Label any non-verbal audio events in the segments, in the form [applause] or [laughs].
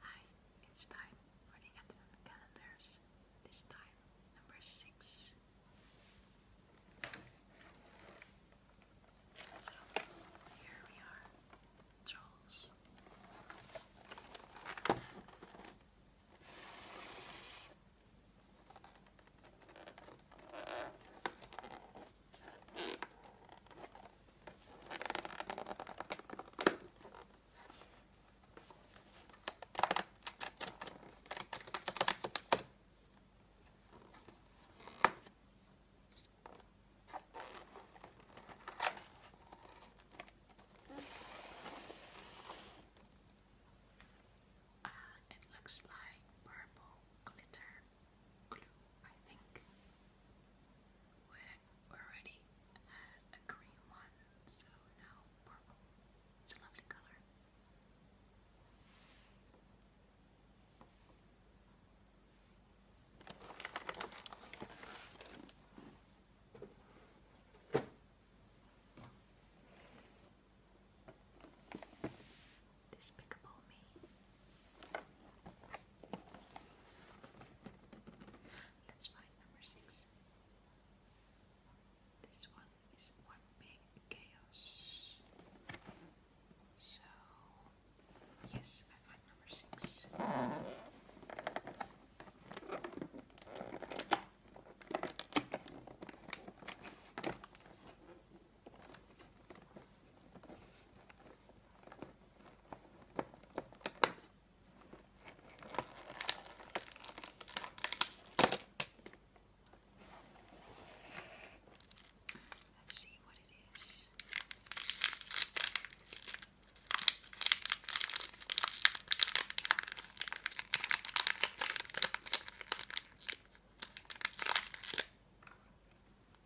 Hi, it's time for the Advent calendars. This time, number six. So, here we are, trolls. Uh, it looks like purple glitter glue, I think already had a green one, so now purple. It's a lovely color. Despicable Me Let's find number six. This one is one big chaos. So, yes, I find number six. Let's see what it is.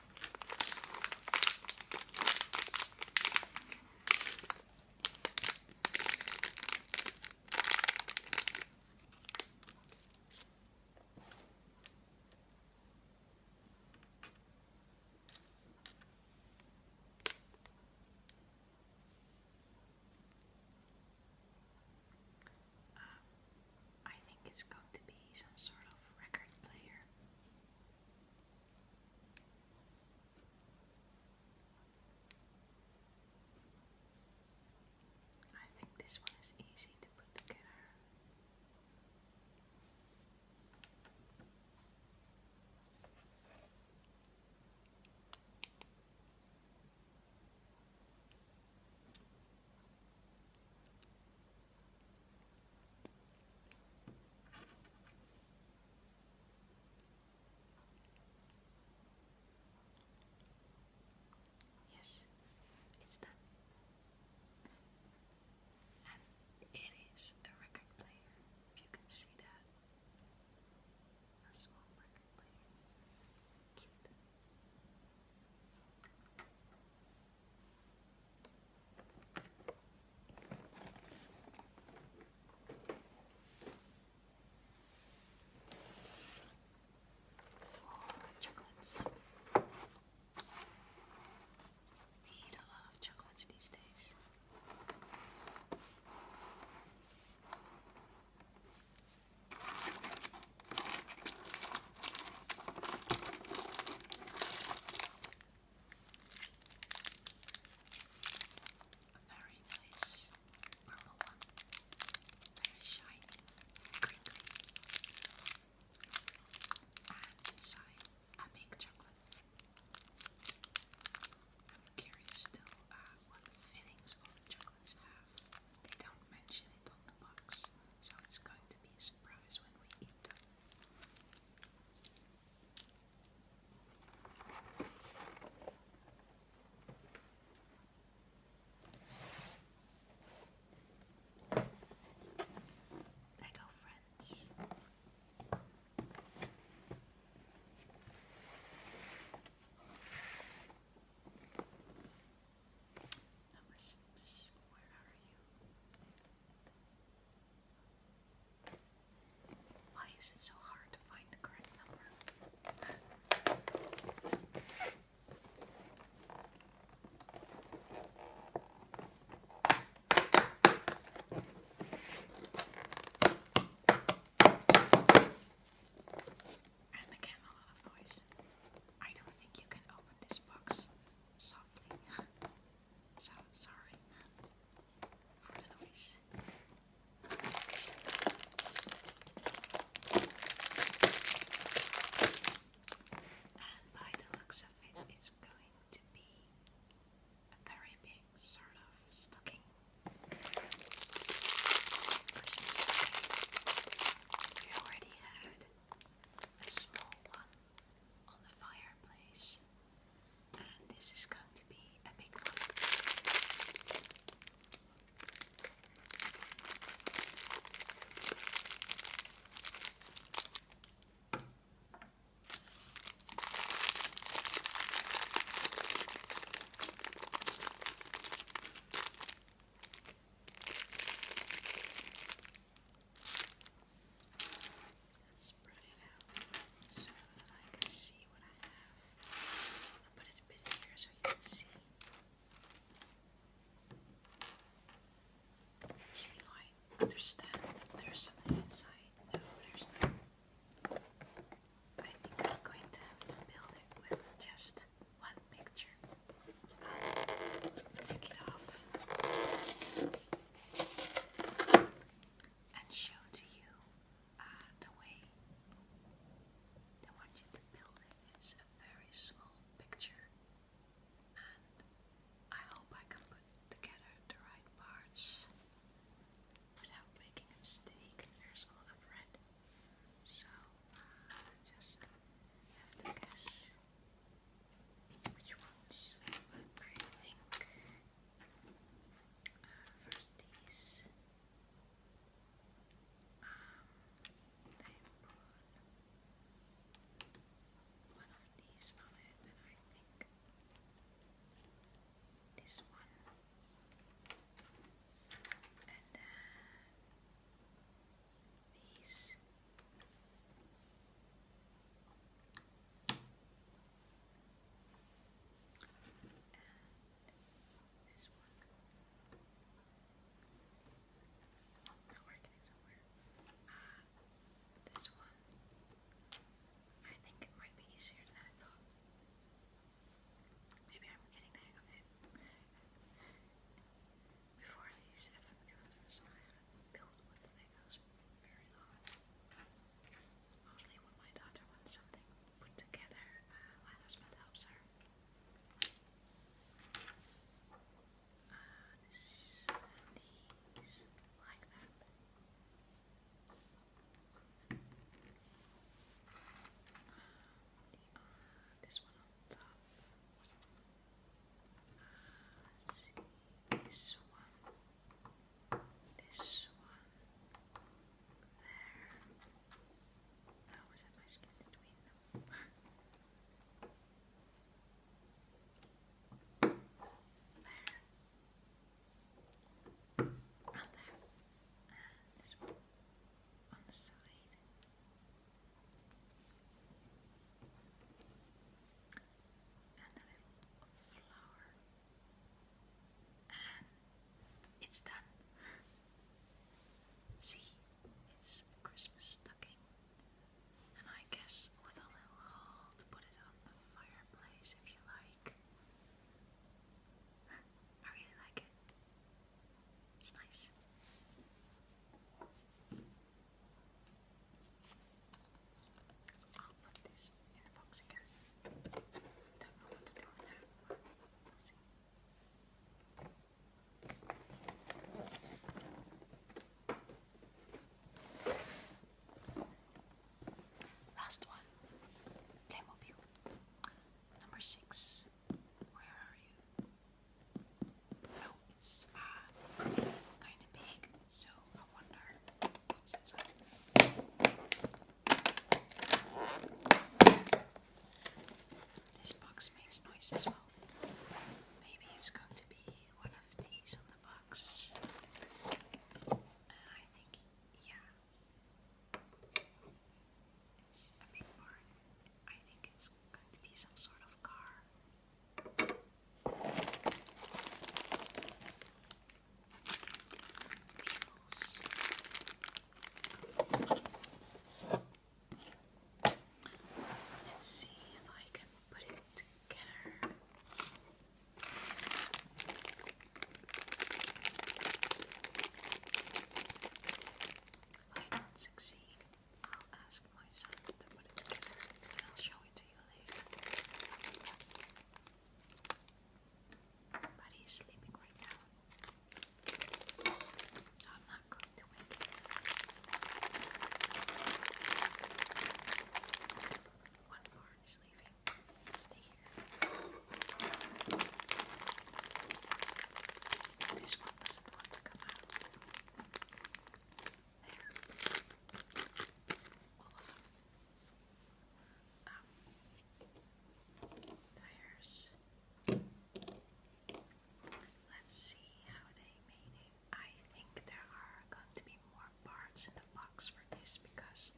Um, I think it's going to be some sort of record player. I think this one is easy to put together. Yes, it's done. And it is a record player, if you can see that. A small record player. Cute. Four chocolates. We eat a lot of chocolates these days. A very nice purple one. Very shiny, crinkly. And inside, I make chocolate. I'm curious still what fillings all chocolates have. They don't mention it on the box, so it's going to be a surprise when we eat them. Lego friends. Number six, where are you? Why is it so hard to find the correct number? And again, a lot of noise. I don't think you can open this box softly. sorry for the noise. And by the looks of it, it's going to be a very big sort of stocking. We already had a small one on the fireplace, and this is going to be a big one. Let's spread it out so that I can see what I have. I'll put it a bit here so you can see. see if I understand there's something inside. No, there's not. I think I'm going to have to build it with just one picture. Take it off and show to you uh, the way they want you to build it. It's a very small picture, and I hope I can put together the right parts without making a mistake. There's a lot of red, so uh, just have to guess. Which ones? I think uh, first these. Um, they put one of these on it, and I think this one. And then these ah, this one. I think it might be easier than I thought. Maybe I'm getting the hang of it. Before these advent calendars, I haven't built with Legos very long. Mostly when my daughter wants something put together, uh, my husband helps her. Uh, these, like that this one on top. this one, this one, there. I always my skin between them. there. And there. And this one on the side and a little flour, and it's done. See, it's a Christmas stocking, and I guess with a little hole put it on the fireplace if you like. [laughs] I really like it. It's nice. I'll put this in the box again. Don't know what to do with that. We'll see. Last one, Playmobil. Number six. Where are you? Oh, it's uh, kind of big, so I wonder what's inside. This box makes noise as well. Maybe it's going to be one of these on the box. Uh, I think, yeah. It's a big barn. I think it's going to be some sort of car. Let's see if I can put it together. If I don't succeed, I'll ask my son to put it together and I'll show it to you later. But he's sleeping right now. So I'm not going to wake him. One barn is leaving. Stay here. This one doesn't to come out. There. All um, tires. Let's see how they made it. I think there are going to be more parts in the box for this because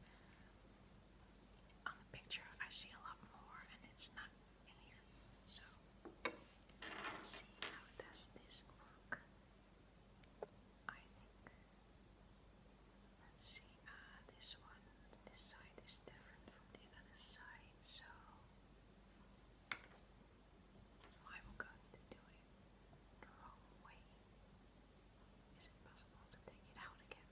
on the picture I see a lot more and it's not in here. So let's see how does this work. I think let's see, uh this one this side is different from the other side, so I will go to do it the wrong way. Is it possible to take it out again?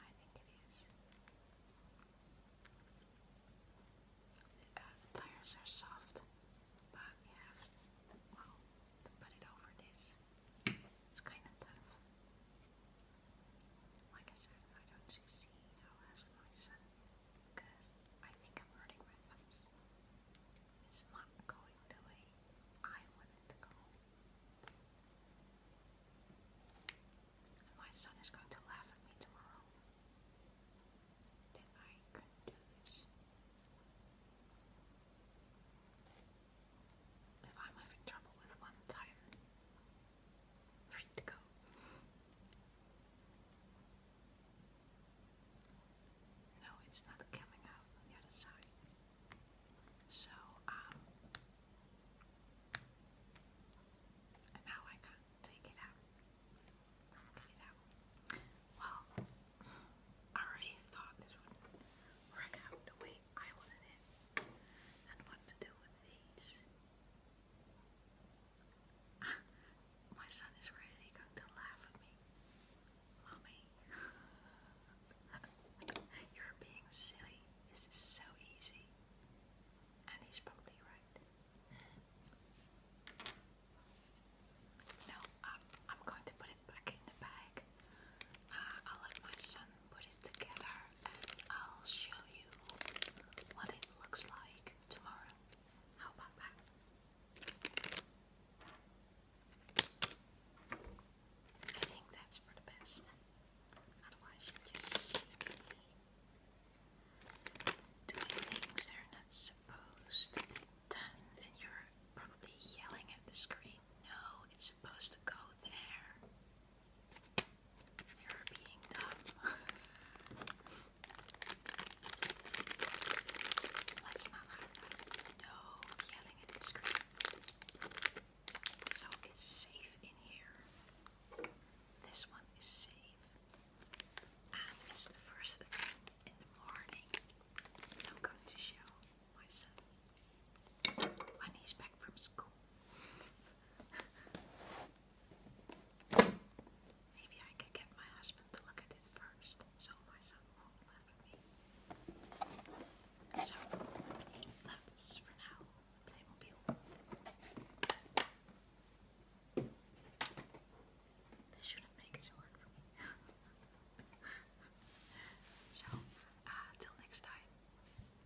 I think it is. Uh, the, tires are soft, but we have to put it over this. It's kind of tough. Like I said, if I don't succeed, I'll ask my son, I think I'm hurting my thumbs. It's not going the way I want it to go. And my son is going to laugh at me tomorrow. That I couldn't do this. If I'm having trouble with one tire, free to go. No, it's not coming out the other side. So, um, now I can take it out. Get it out. Well, I already thought this would work out the way I wanted it and what to do with these. My son is really going to laugh at me. Mommy, [laughs] you're being silly. This so easy. And he's probably right. No, I'm, going to put it back in the bag. Uh, I'll my son put it together and I'll show you what it looks like tomorrow. How about that? I think that's for the best. Otherwise you just doing things they're not supposed to and you're probably yelling at the screen. No, it's supposed to go there. You're being dumb. Let's not have that. No yelling at the So it's safe in here. This one is safe. And it's the first thing in the morning. I'm going to show my son when he's back from school. Maybe I could get my husband to look at it first so my son won't laugh at me. So, he for now Playmobil. This shouldn't make it so hard for me. [laughs] so, uh, till next time. Bye.